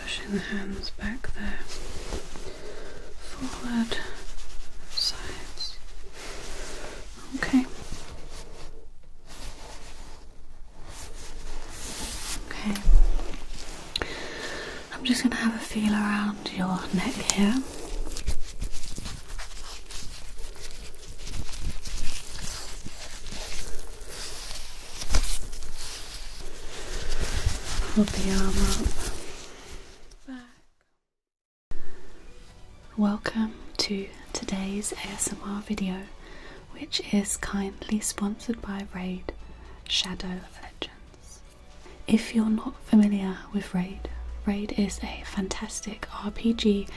Pushing the hands back there, forward, sides. Okay. Okay. I'm just going to have a feel around your neck here. Hold the arm up. Welcome to today's ASMR video, which is kindly sponsored by Raid. Shadow of Legends. If you're not familiar with Raid, Raid is a fantastic RPG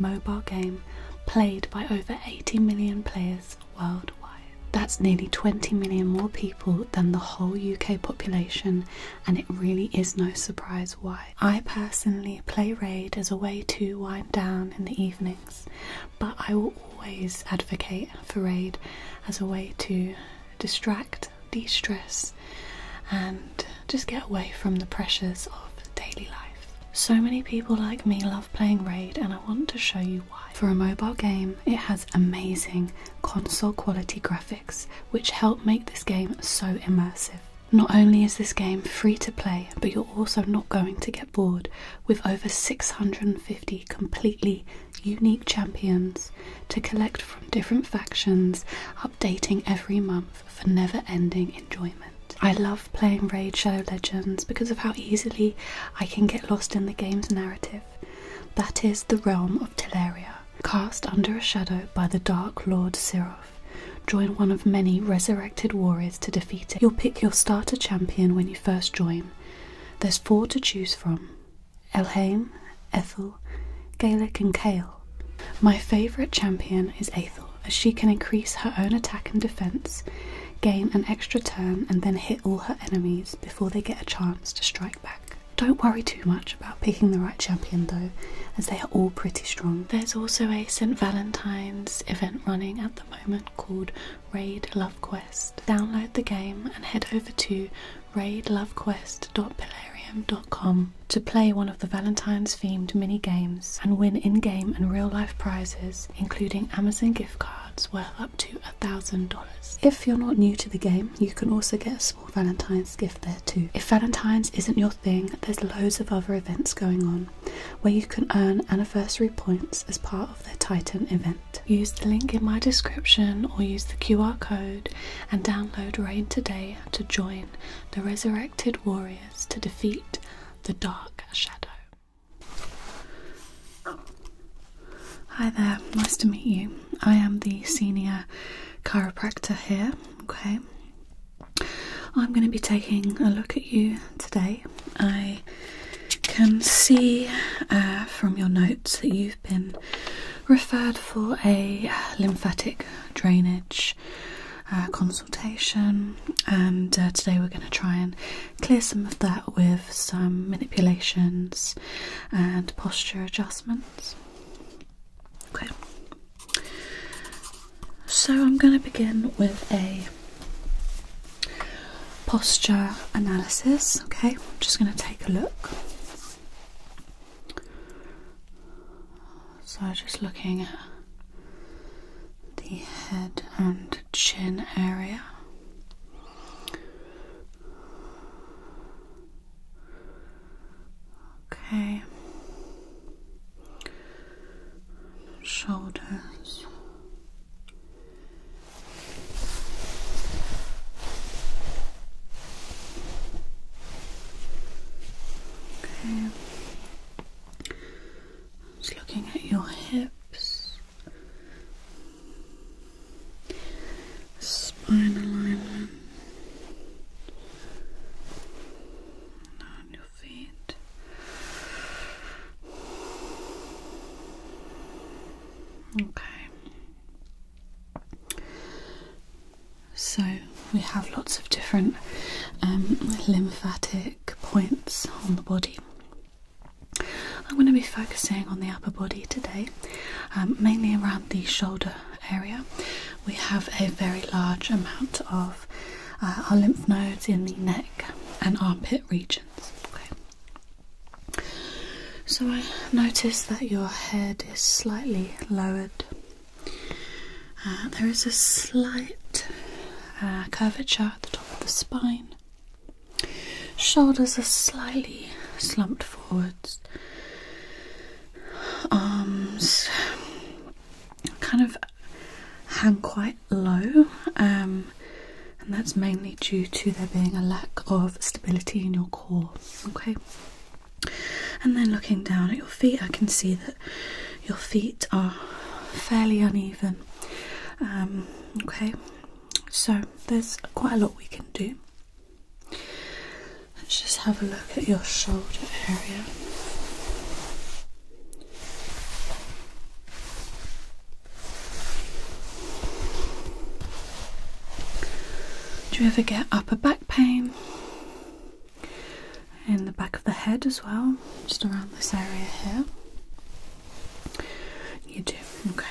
mobile game played by over 80 million players worldwide. That's nearly 20 million more people than the whole UK population, and it really is no surprise why. I personally play Raid as a way to wind down in the evenings but I will always advocate for raid as a way to distract, de stress, and just get away from the pressures of daily life. So many people like me love playing Raid, and I want to show you why. For a mobile game, it has amazing console quality graphics, which help make this game so immersive. Not only is this game free to play, but you're also not going to get bored with over 650 completely unique champions to collect from different factions, updating every month for never ending enjoyment. I love playing Raid Shadow Legends because of how easily I can get lost in the game's narrative. That is the realm of Teleria, cast under a shadow by the Dark Lord Siroth. Join one of many resurrected warriors to defeat it. You'll pick your starter champion when you first join, there's four to choose from Elhaim, Ethel, Gaelic, and Kale. My favourite champion is Ethel, as she can increase her own attack and defence, gain an extra turn, and then hit all her enemies before they get a chance to strike back. Don't worry too much about picking the right champion though, as they are all pretty strong. There's also a St. Valentine's event running at the moment called Raid Love Quest. Download the game and head over to raidlovequest.pilarium.com to play one of the Valentine's themed mini games and win in game and real life prizes, including Amazon gift cards worth up to $1,000. If you're not new to the game, you can also get a small Valentine's gift there too. If Valentine's isn't your thing, there's loads of other events going on where you can earn anniversary points as part of the Titan event use the link in my description or use the QR code and download Rain today to join the resurrected warriors to defeat the Dark Shadow. Hi there, nice to meet you. I am the senior chiropractor here, okay? I'm going to be taking a look at you today I can see uh, from your notes that you've been referred for a lymphatic drainage uh, consultation, and uh, today we're going to try and clear some of that with some manipulations and posture adjustments. Okay, so I'm going to begin with a posture analysis. Okay, I'm just going to take a look. So, just looking at the head and chin area. Okay. Shoulders, Okay. Just looking at your hips, spine alignment, on your feet. Okay. So we have lots of different um, lymphatic points on the body. I'm going to be focusing on the upper body today, um, mainly around the shoulder area. We have a very large amount of uh, our lymph nodes in the neck and armpit regions. Okay. So I notice that your head is slightly lowered. Uh, there is a slight uh, curvature at the top of the spine. Shoulders are slightly slumped forwards. Arms kind of hang quite low. Um, and that's mainly due to there being a lack of stability in your core. Okay, and then looking down at your feet, I can see that your feet are fairly uneven. Um, okay, so there's quite a lot we can do. Let's just have a look at your shoulder area. Do you ever get upper back pain? In the back of the head as well, just around this area here. You do, okay.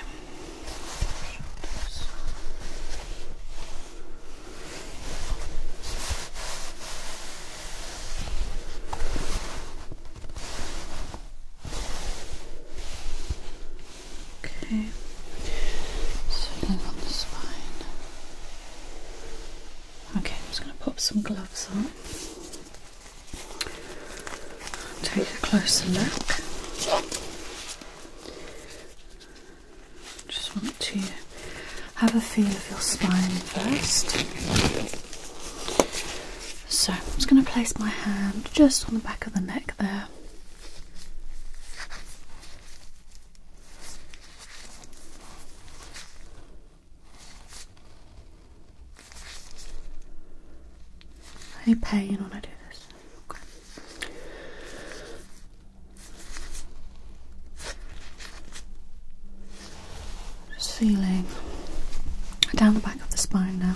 Okay. Sitting on the spine. Okay, I'm just going to pop some gloves on. Take a closer look. Just want to have a feel of your spine first. So I'm just going to place my hand just on the back of the neck there. Any pain when I do this? feeling down the back of the spine now.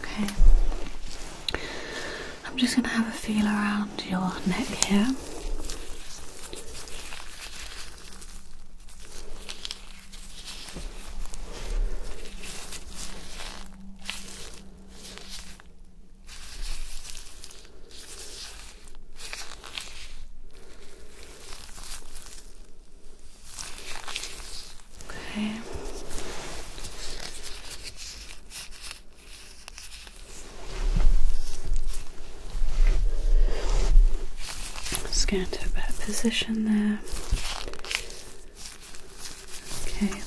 Okay. I'm just going to have a feel around your neck here. Okay. Just going to a bad position there. Okay.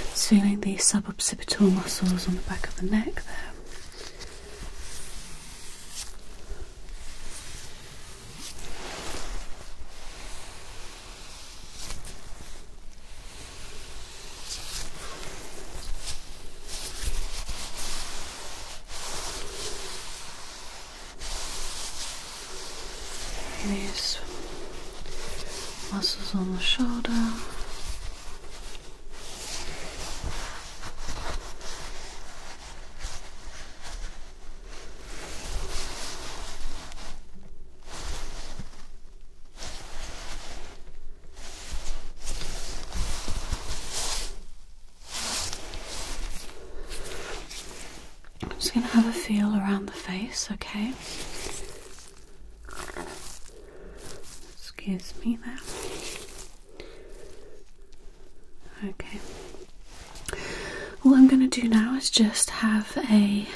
It's feeling the suboccipital muscles on the back of the neck there. These muscles on the shoulder I'm just going to have a feel around the face, okay? Excuse me there. Okay. What I'm going to do now is just have a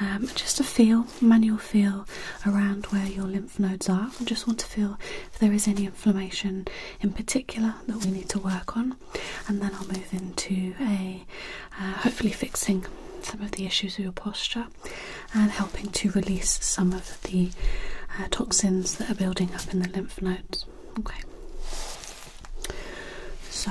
um, just a feel, manual feel around where your lymph nodes are. I just want to feel if there is any inflammation in particular that we need to work on, and then I'll move into a uh, hopefully fixing some of the issues of your posture and helping to release some of the uh, toxins that are building up in the lymph nodes. Okay, so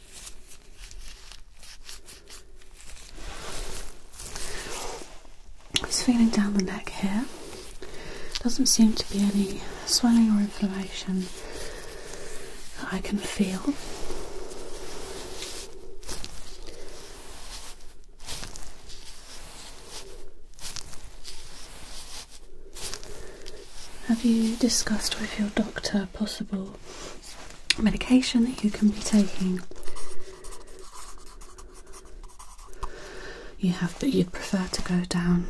I'm feeling down the neck here. Doesn't seem to be any swelling or inflammation that I can feel. Have you discussed with your doctor possible medication that you can be taking. You have, but you'd prefer to go down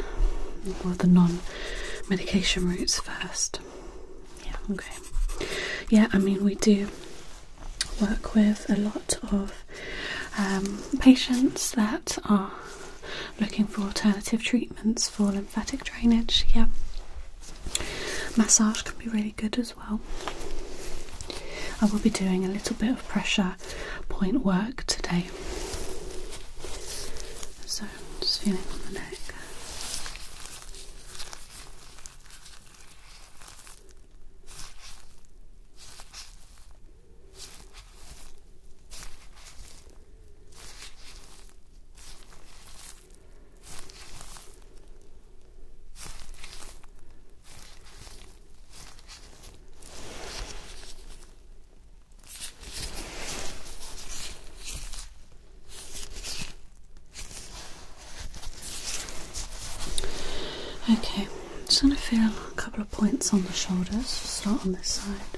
one the non-medication routes first. Yeah, okay. Yeah, I mean we do work with a lot of um, patients that are looking for alternative treatments for lymphatic drainage. Yeah. Massage can be really good as well. I will be doing a little bit of pressure point work today. So, just feeling on the neck. Okay, just going to feel a couple of points on the shoulders. start on this side.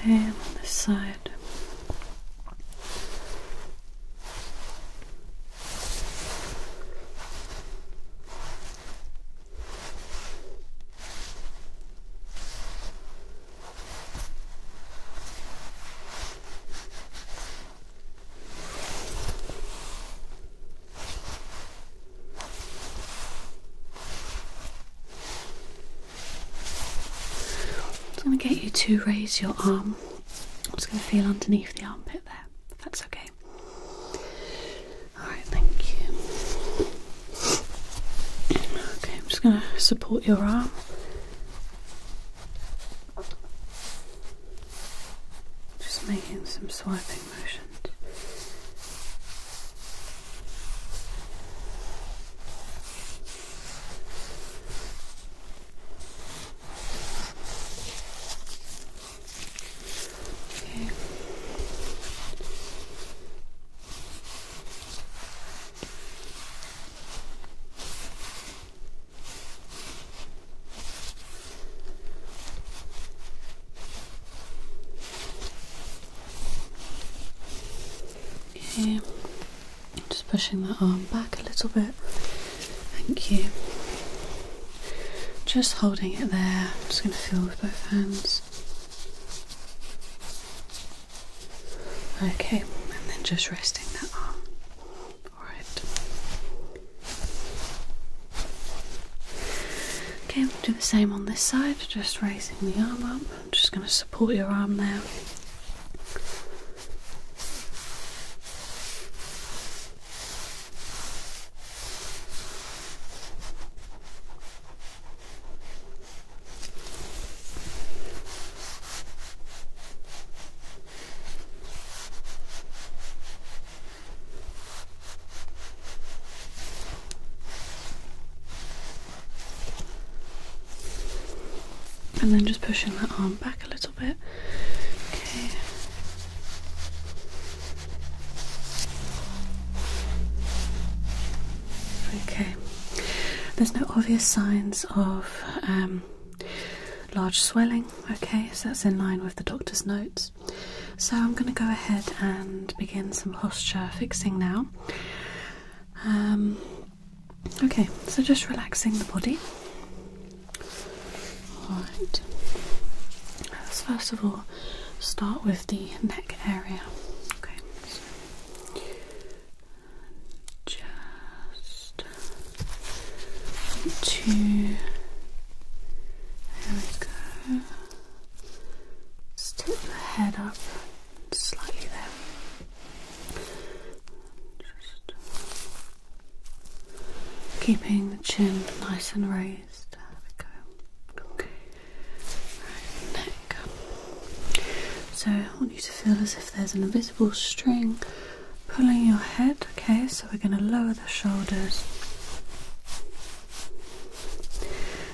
Okay, and on this side. Okay, I'm going to get you to raise your arm. I'm just going to feel underneath the armpit there, if that's okay. Alright, thank you. Okay, I'm just going to support your arm just making some swiping motions. Okay just pushing that arm back a little bit. Thank you. Just holding it there. I'm just going to feel with both hands. Okay, and then just resting that arm. Alright. Okay, we'll do the same on this side, just raising the arm up. I'm just going to support your arm there. And then just pushing that arm back a little bit. Okay. Okay. There's no obvious signs of um, large swelling. Okay, so that's in line with the doctor's notes. So I'm going to go ahead and begin some posture fixing now. Um, okay, so just relaxing the body. Alright, let's first of all start with the neck area. Okay, just two. There we go. Step the head up slightly there. Just keeping the chin nice and raised. There we go. Okay. neck. So I want you to feel as there's an invisible string pulling your head. Okay, so we're going to lower the shoulders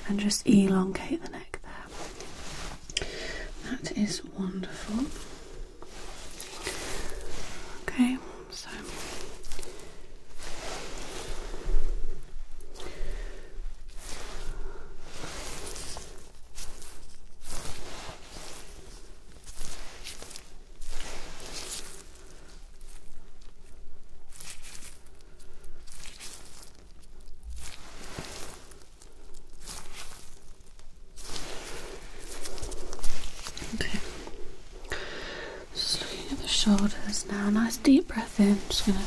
and just elongate the neck there. That is wonderful. Okay, so. Okay. Just looking at the shoulders now. Nice deep breath in. Just gonna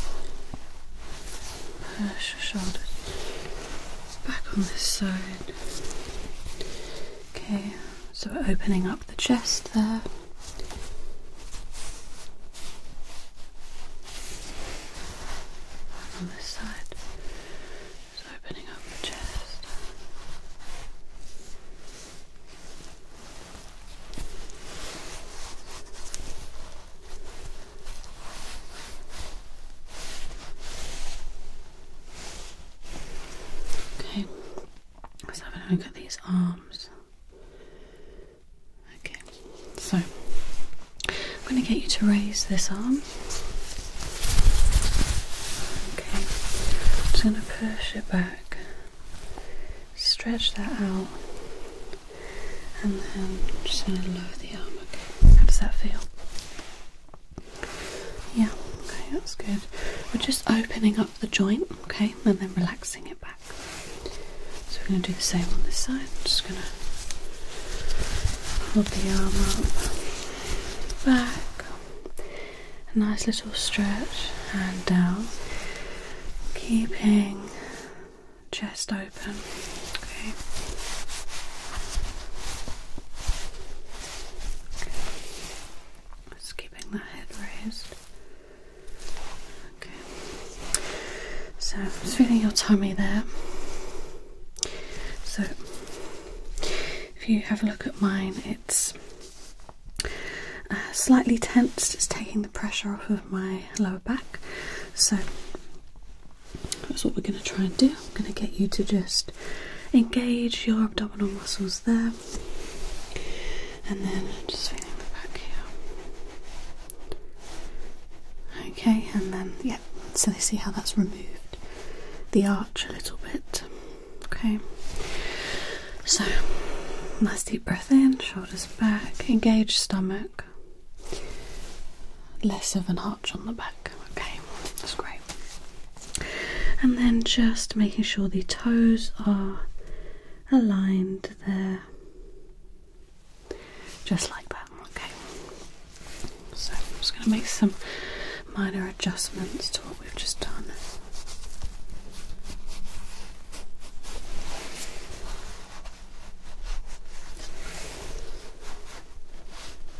push your shoulders back on this side. Okay, so we're opening up the chest there. on this side, just opening up the chest. Okay, let's have a look at these arms. Okay, so I'm going to get you to raise this arm. Okay, I'm just going to push it back, stretch that out, and then just going to lower the arm. Okay, how does that feel? Yeah, okay, that's good. We're just opening up the joint, okay, and then relaxing it back. So we're going to do the same on this side. just going to hold the arm up, back, nice little stretch, and down, keeping chest open. Okay. Okay. Just keeping the head raised. Okay. So feeling your tummy there. So if you have a look at mine, it's uh, slightly tensed. It's taking the pressure off of my lower back. So that's what we're going to try and do. I'm going to get you to just engage your abdominal muscles there, and then just feeling the back here. Okay, and then yeah. So they see how that's removed the arch a little bit. Okay. So nice deep breath in, shoulders back, engage stomach. Less of an arch on the back. Okay, that's great. And then just making sure the toes are aligned there, just like that. Okay, so I'm just going to make some minor adjustments to what we've just done.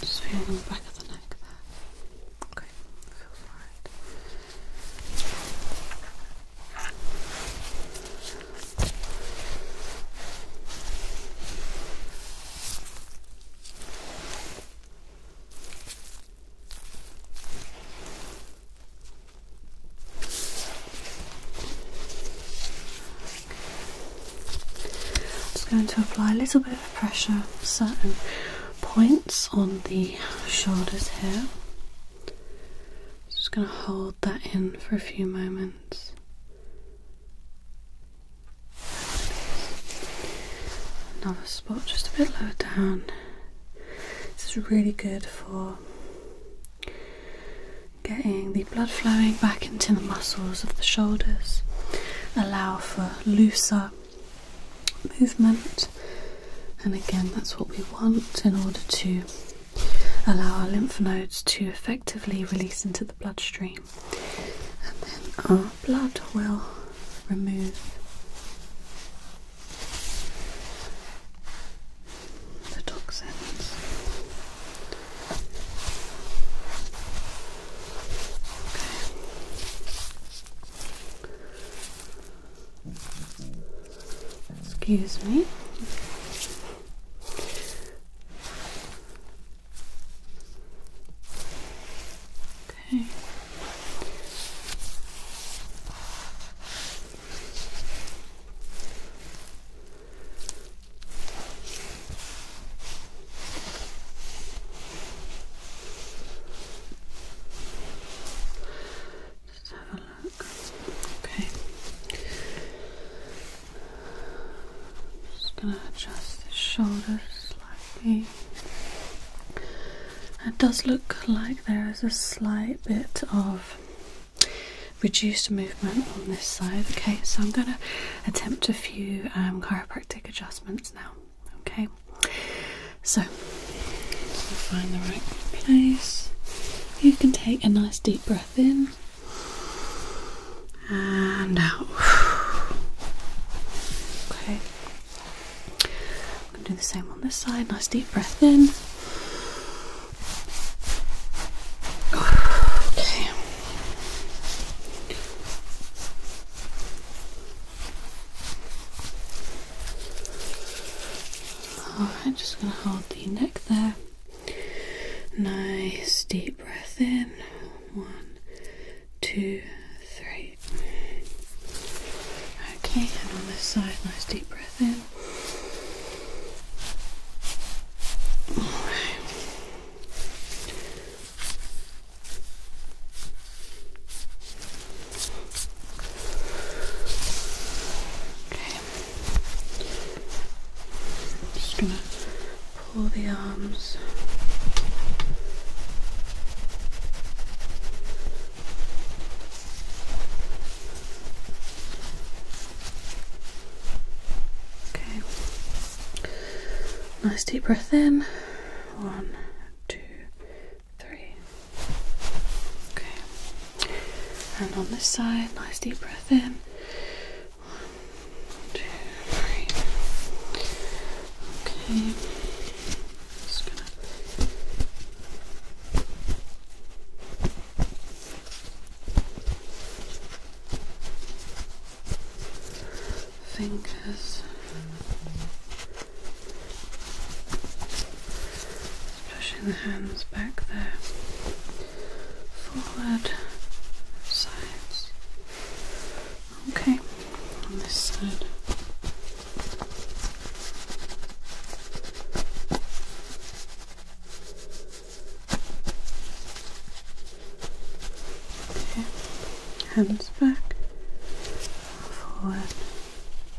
Just in the back of the neck there. Okay, feels alright just going to apply a little bit of pressure, certain points on the shoulders here. Just going to hold that in for a few moments. Another spot just a bit lower down. This is really good for getting the blood flowing back into the muscles of the shoulders, allow for looser movement, and again, that's what we want in order to allow our lymph nodes to effectively release into the bloodstream, and then our blood will remove the toxins. Excuse me. Okay. Let's have a look. Okay. I'm just gonna adjust the shoulders slightly. It does look like there is a slight bit of reduced movement on this side. Okay, so I'm gonna attempt a few um, chiropractic adjustments now. Okay, so find the right place. You can take a nice deep breath in and out. Okay, I'm gonna do the same on this side. Nice deep breath in. Okay. I'm just going to hold the neck there. Nice deep breath in. One, two, three. Okay, and on this side, nice deep breath in. Alright. I'm just gonna pull the arms. Okay. Nice deep breath in. One, two, three. Okay. And on this side, nice deep breath in. One, two, three. Okay fingers, pushing the hands back there, forward, sides. Okay, on this side hands back, forward,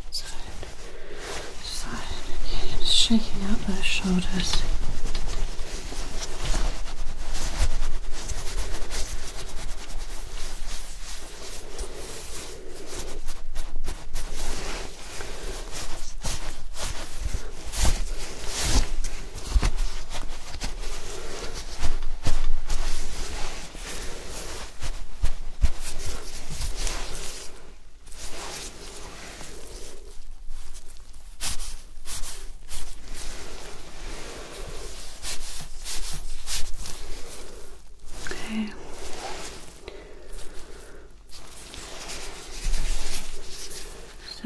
side, side. shaking out those shoulders. Okay.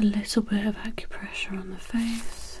Just a little bit of acupressure on the face.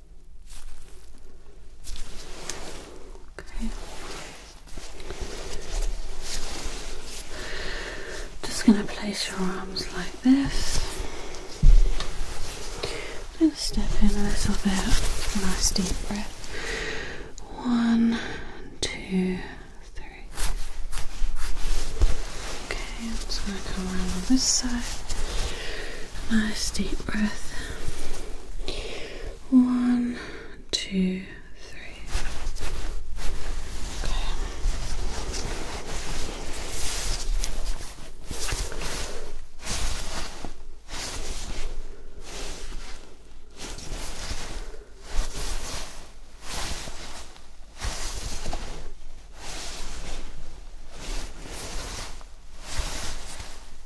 Okay. Just going to place your arms like this. Just step in a little bit. Nice deep breath. One, two, three. Okay, I'm just going to come around on this side. Nice deep breath one, two, three. Okay.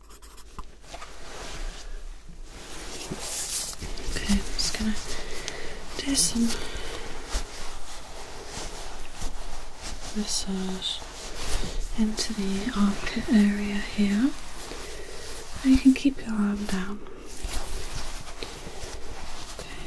Okay, I'm just gonna do some massage into the armpit area here. you can keep your arm down. Okay.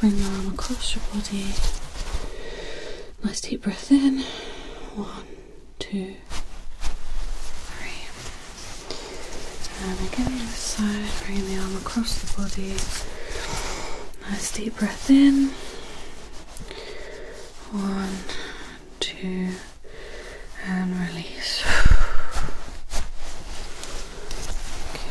Bring your arm across your body. Nice deep breath in. One, two, three. And again, the side, bringing the arm across the body. Nice deep breath in. One, two, and release. Okay.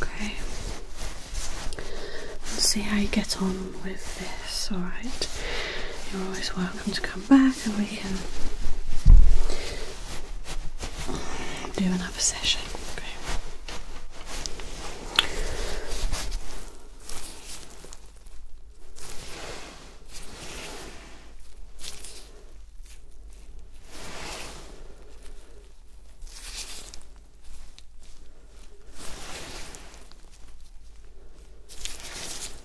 Okay. Let's see how you get on with this, alright? You're always welcome to come back and we can do another session.